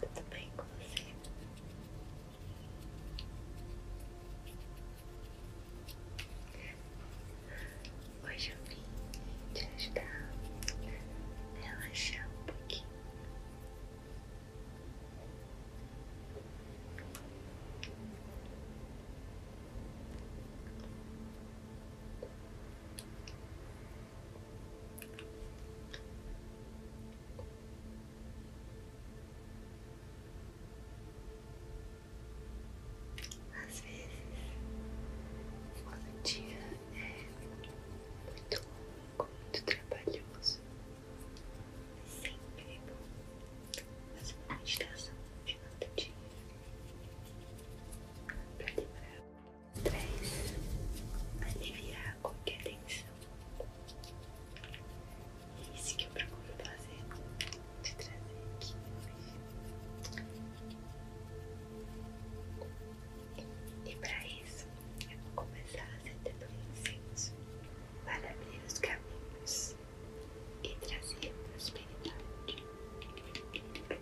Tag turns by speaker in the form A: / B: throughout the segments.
A: Tá tudo bem com você? Hoje eu vim te ajudar a relaxar um pouquinho. Às vezes, o dia é muito longo, muito trabalhoso, sempre bom fazer uma meditação final do dia para liberar o stress, aliviar qualquer tensão. É isso que eu procuro fazer, te trazer aqui hoje. E para isso, eu vou começar a acender pelo incenso para abrir os caminhos e trazer prosperidade.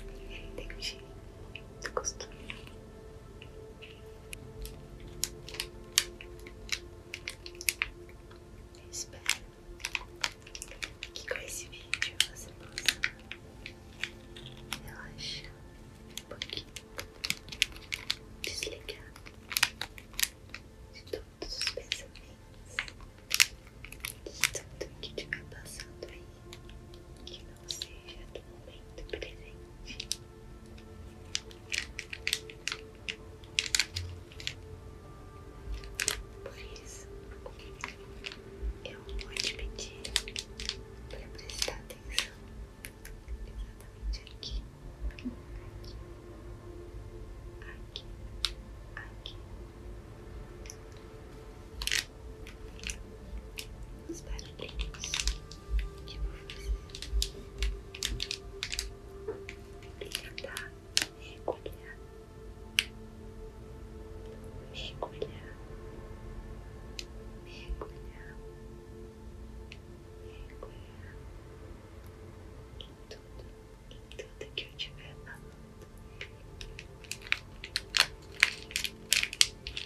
A: E ele tem um cheirinho muito Eu espero que com esse vídeo você possa relaxar um pouquinho, desligar de todos os pensamentos de tudo que te passando aí que não seja do momento presente. Por isso, eu vou te pedir para prestar atenção exatamente aqui, aqui, aqui, aqui os barulhinhos que eu vou fazer e tentar mergulhar, mergulhar, mergulhar, mergulhar em tudo, em tudo que eu tiver falando.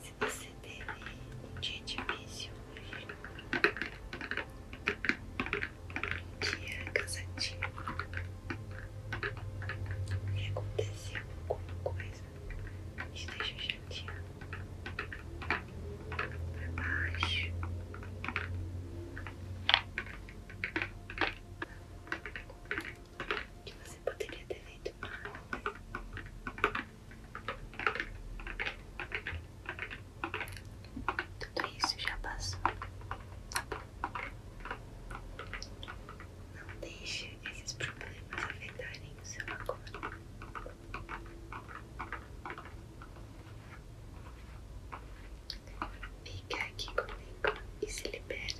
A: Se você teve um dia difícil hoje, um dia cansativo, e aconteceu alguma coisa que te deixa para baixo, que você poderia ter feito mal. Tudo isso já passou. Não deixe esses problemas afetarem o seu agora. Fica aqui comigo e se libera,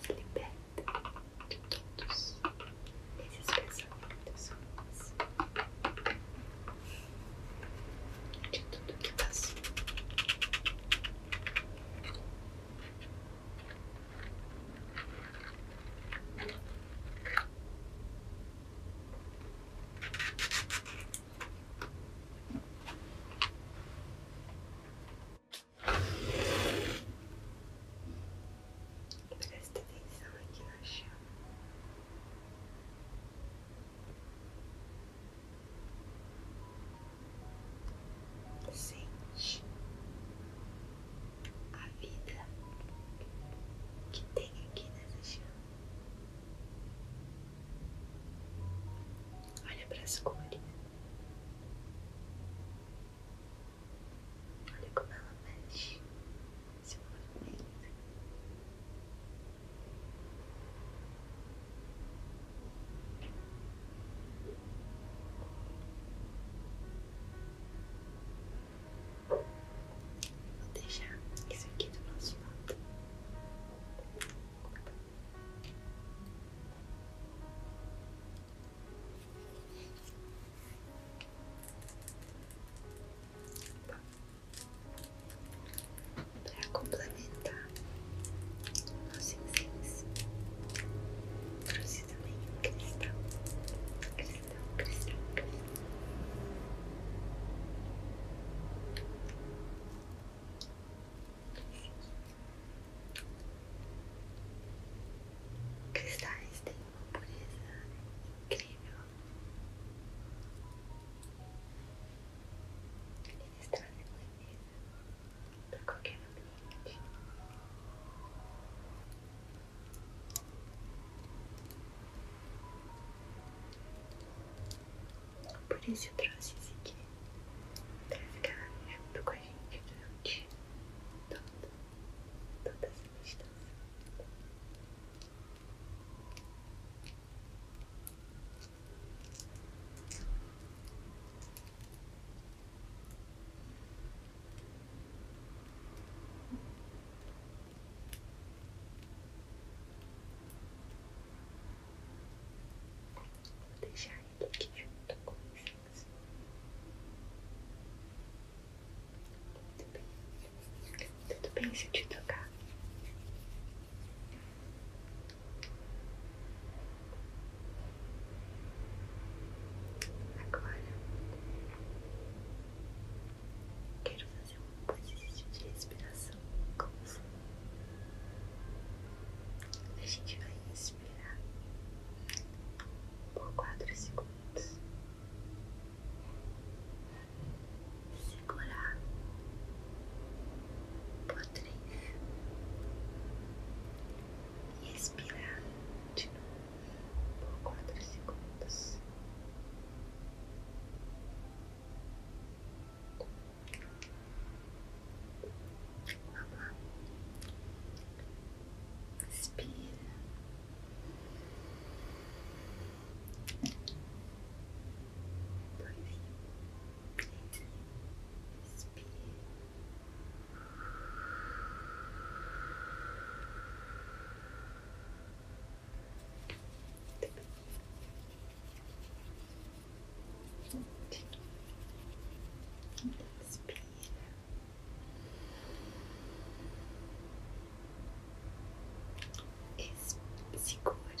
A: se liberta de todos esses pensamentos ruins, de tudo que passa Presta atenção aqui na chama. Sente a vida que tem aqui nessa chama. Olha para as cores. Olha como ela mexe. Vou deixar isso aqui do nosso lado. Para complementar nosso incenso, trouxe também um cristal. Um cristal Cristais têm uma pureza incrível. Eles trazem leveza para qualquer ambiente. Por isso eu trouxe esse aqui pra ficar junto com a gente durante toda, toda essa distância. Vou deixar ele aqui junto com vocês. Tudo bem? Tudo bem se te tocar? Agora quero fazer um exercício de respiração confusa. A gente vai inspirar por quatro segundos. Segurar por três E expirar de novo por quatro segundos. Vamos lá. Inspira. Inspira. Es segura e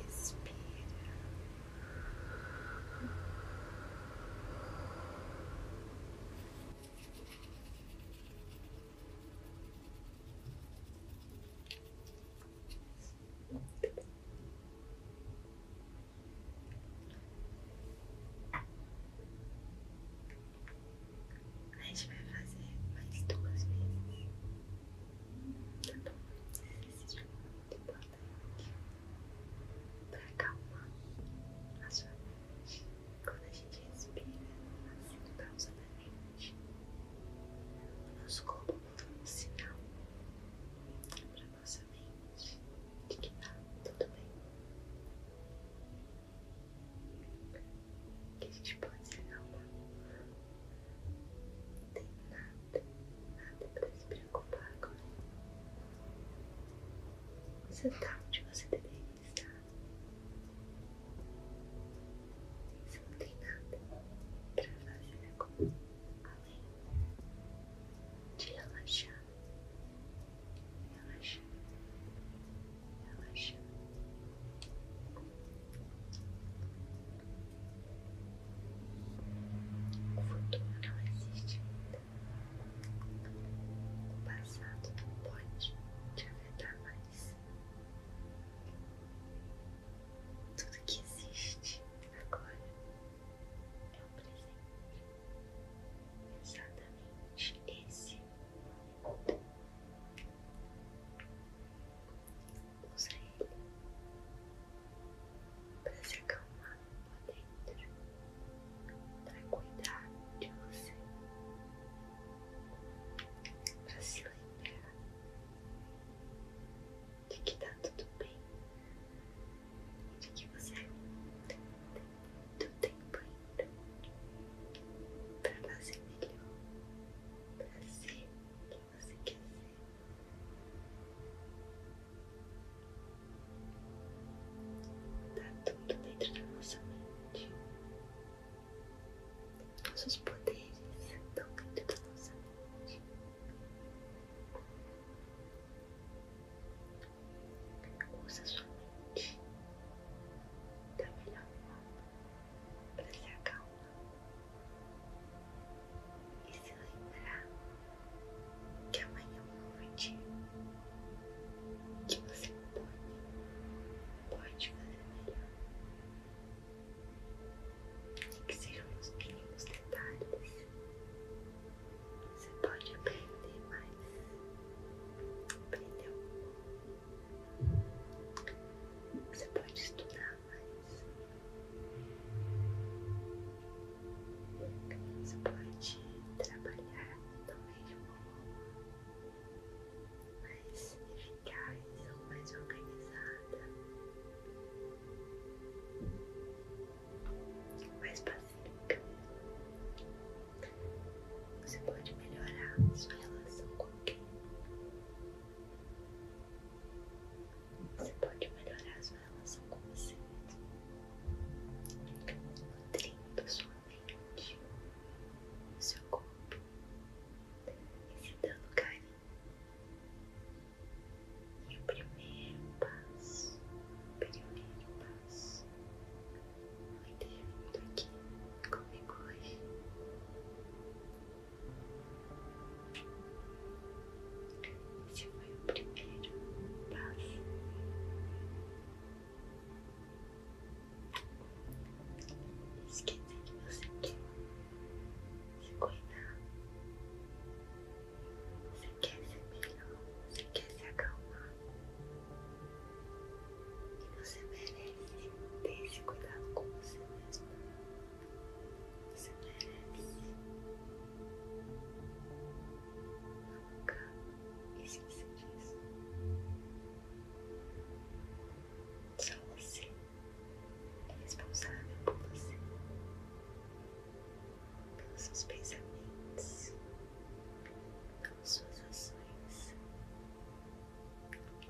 A: Expira. Muito A gente vai fazer mais duas vezes. Tá bom? Exercício muito importante para calmar a sua mente. Quando a gente respira, assim, pausadamente, o nosso corpo manda um sinal para nossa mente de que tá tudo bem. Que a gente pode se acalmar. Não tem nada, nada para se preocupar agora. Você tá onde você deveria estar. Você tem nada para fazer agora, além de relaxar, relaxar, relaxar O futuro não existe ainda. O passado não pode te afetar mais. Tudo que existe agora é o presente. Exatamente esse momento. Usa ele para se acalmar lá dentro, para cuidar de você, para se lembrar de que está tudo bem e de que você tem muito tempo ainda para fazer melhor, para ser melhor você quer ser. Tá tudo dentro da nossa mente. Nossos poderes estão dentro da nossa mente. Usa sua mente da melhor forma para se acalmar e se lembrar que amanhã é um novo dia, que você pode, pode fazer melhor. E que sejam os mínimos detalhes, você pode aprender mais. Aprender. Você pode estudar, mais. Você pode trabalhar também de modo, mais eficaz ou mais organizada, mais pacífica. Você pode melhorar sua relação com quem? Você pode melhorar a sua relação com você mesmo, nutrindo sua mente, o seu corpo e se dando carinho. E o primeiro passo, o primeiro passo, vai ter vindo aqui comigo hoje. Esse foi o primeiro passo. Esqueça que você quer se cuidar. Você quer ser melhor. Você quer se acalmar. E você merece ter esse cuidado com você mesmo. Você merece uma cama e só você é responsável por você, pelos seus pensamentos, pelas suas ações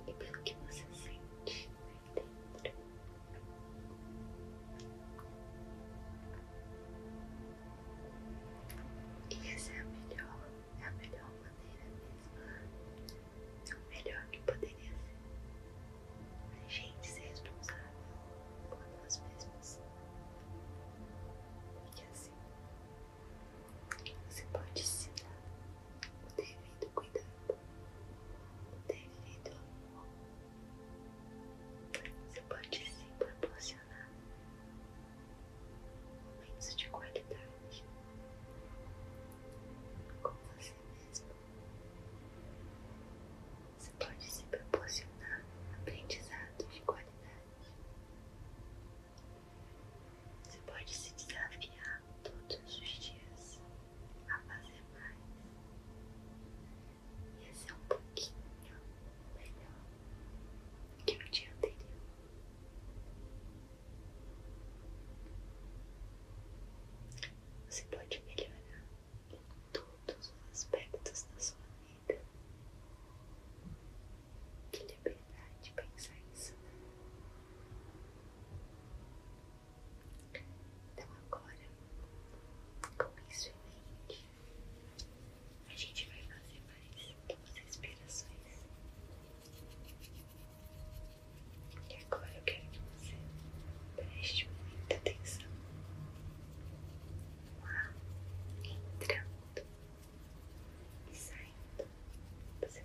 A: e pelo que você sente. Isso é a melhor, é a melhor maneira mesmo. É o melhor que poderia ser. A gente ser responsável por nós mesmos. E assim, você pode se dar o devido cuidado devido amor, você pode se proporcionar momentos de qualidade com você mesmo. Você pode se proporcionar aprendizados de qualidade. Você pode se desafiar todos os dias a fazer mais. Ia ser é um pouquinho melhor do que no dia anterior. Você pode melhorar em todos os aspectos da sua vida. Que liberdade pensar isso. Né? Então agora, com isso em mente, a gente vai fazer mais duas respirações. E agora eu quero que você preste muita atenção no ar entrando e saindo do seu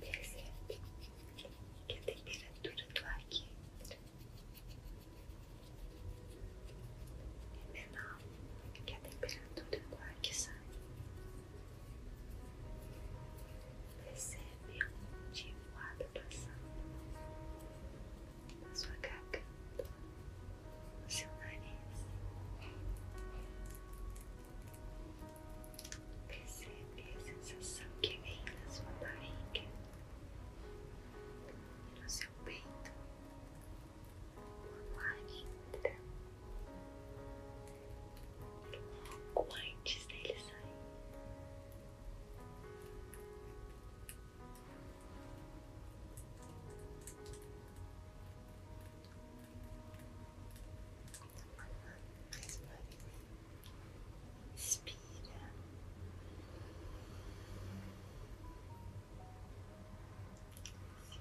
A: Percebe que a temperatura do ar que entra é menor que a temperatura do ar que sai. Percebe onde o ar está passando na sua garganta, no seu nariz. Percebe a sensação que vem na sua barriga e no seu peito quando ar entra e logo antes dele sair mais leve. Inspira. Dois, três,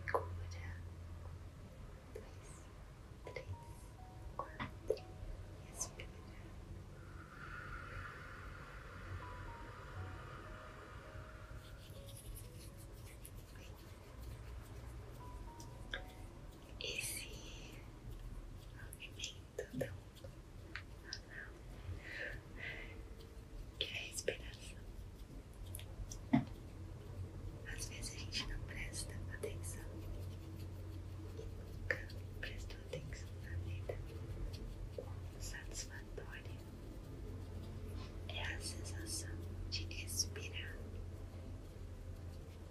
A: quatro. Respira esse movimento tão banal que é a respiração. Às vezes a gente não presta atenção e nunca prestou atenção na vida satisfatória é a sensação de respirar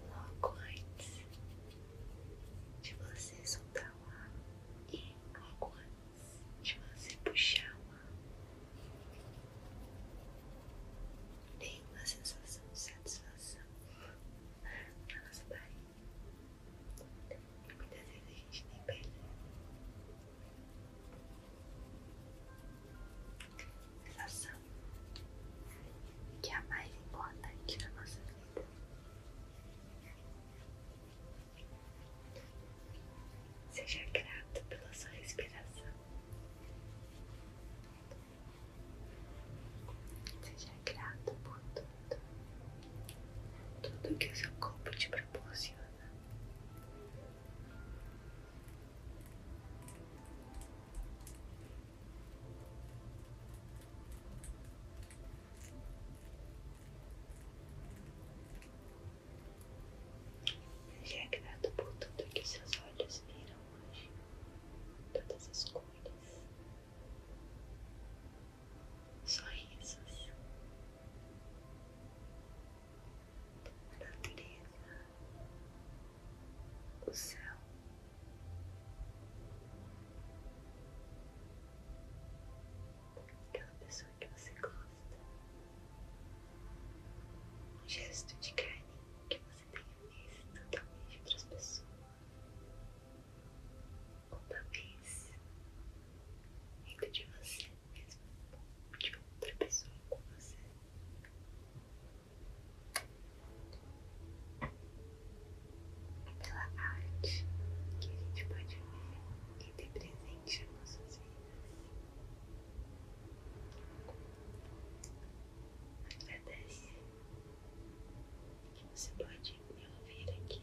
A: logo antes de você soltar o ar e logo antes de você puxar o ar. Tem uma sensação de satisfação na nossa barriga. E muitas vezes a gente nem percebe relação que é a mais importante da nossa vida. Seja grato pela sua respiração. Seja grato por tudo, tudo que o seu corpo te proporciona. Seja é grato por tudo que seus olhos viram hoje, todas as cores, sorrisos, a natureza, o céu. Aquela pessoa que você gosta. Um gesto de carinho que você tenha visto, talvez de outras pessoas. Ou talvez dentro de você mesmo, de outra pessoa com você pela arte que a gente pode ver e ter presente em nossas vidas. Agradece que você pode me ouvir aqui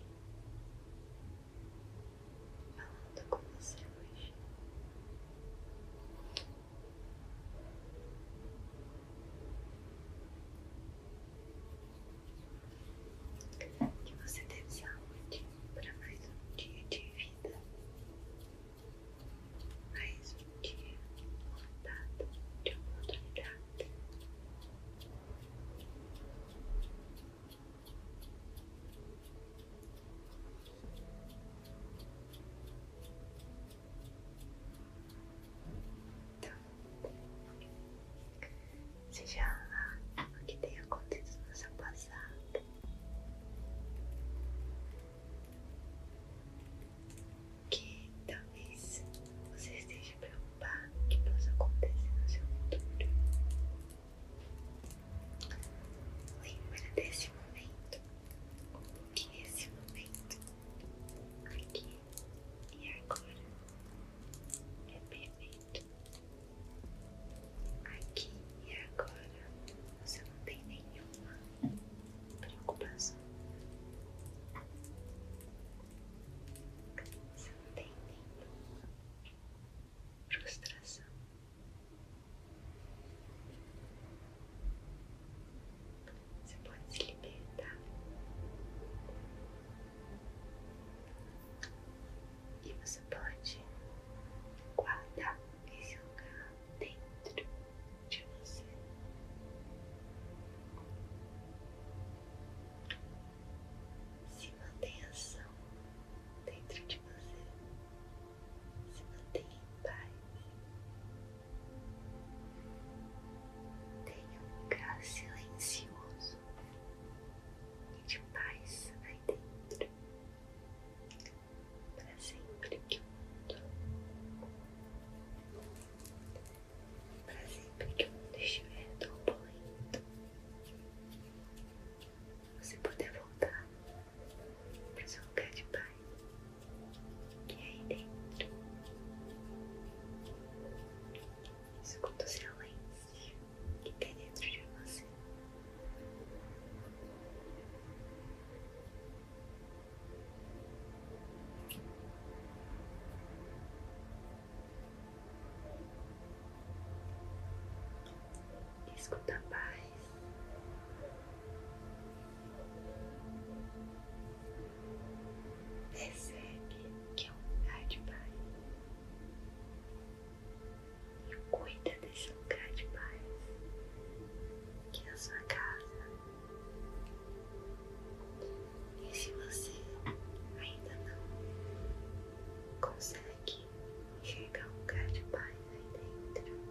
A: falando com você hoje. Que você tenha saúde para mais um dia de vida, mais um dia lotado de oportunidade. Então, seja lá o que tenha acontecido no seu passado, que talvez você esteja preocupado com o que possa acontecer no seu futuro. Lembra desse momento que esse momento, aqui e agora, é perfeito. Aqui e agora você não tem nenhuma preocupação. Você não tem nenhuma frustração. Você pode se libertar e você pode guardar esse lugar dentro de você. Se mantenha ação dentro de você se mantenha em paz. Tenha um lugar silencioso e de paz aí dentro, para sempre que o mundo, para sempre que o mundo estiver turbulento, você poder voltar para o seu lugar de paz que é aí dentro. Escuta o silêncio que tem dentro de você. Escuta a paz. Se que é um lugar de paz e cuida desse lugar de paz que é a sua casa. E se você ainda não consegue enxergar um lugar de paz aí dentro,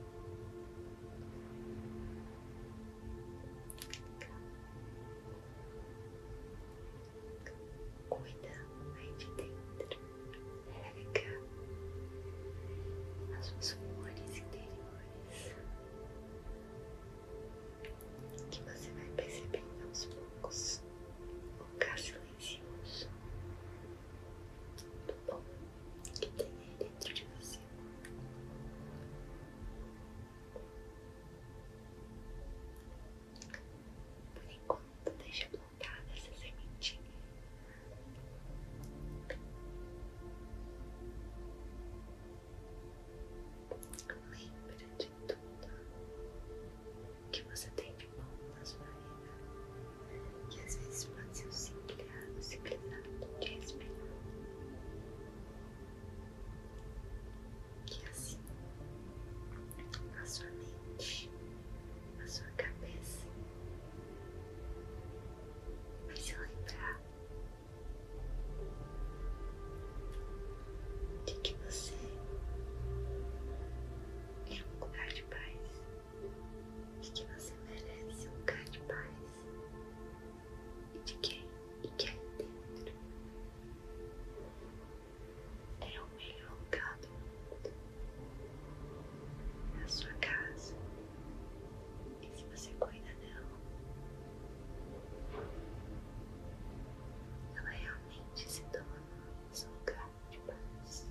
A: Cuida aí de dentro, rega as suas flores interiores que você vai percebendo aos poucos o lugar silencioso do bom que tem aí dentro de você. Por enquanto, deixa plantada essa sementinha. Lembra de tudo que você tem de bom na sua vida que às vezes pode ser um significado simplificado de respeito, que é assim na sua mente, na sua cabeça vai se lembrar de que você é um lugar de paz e que você merece um lugar de paz e de quem e que aí é dentro é o melhor lugar do mundo, é a sua casa e se você cuida dela, ela realmente se torna seu lugar de paz.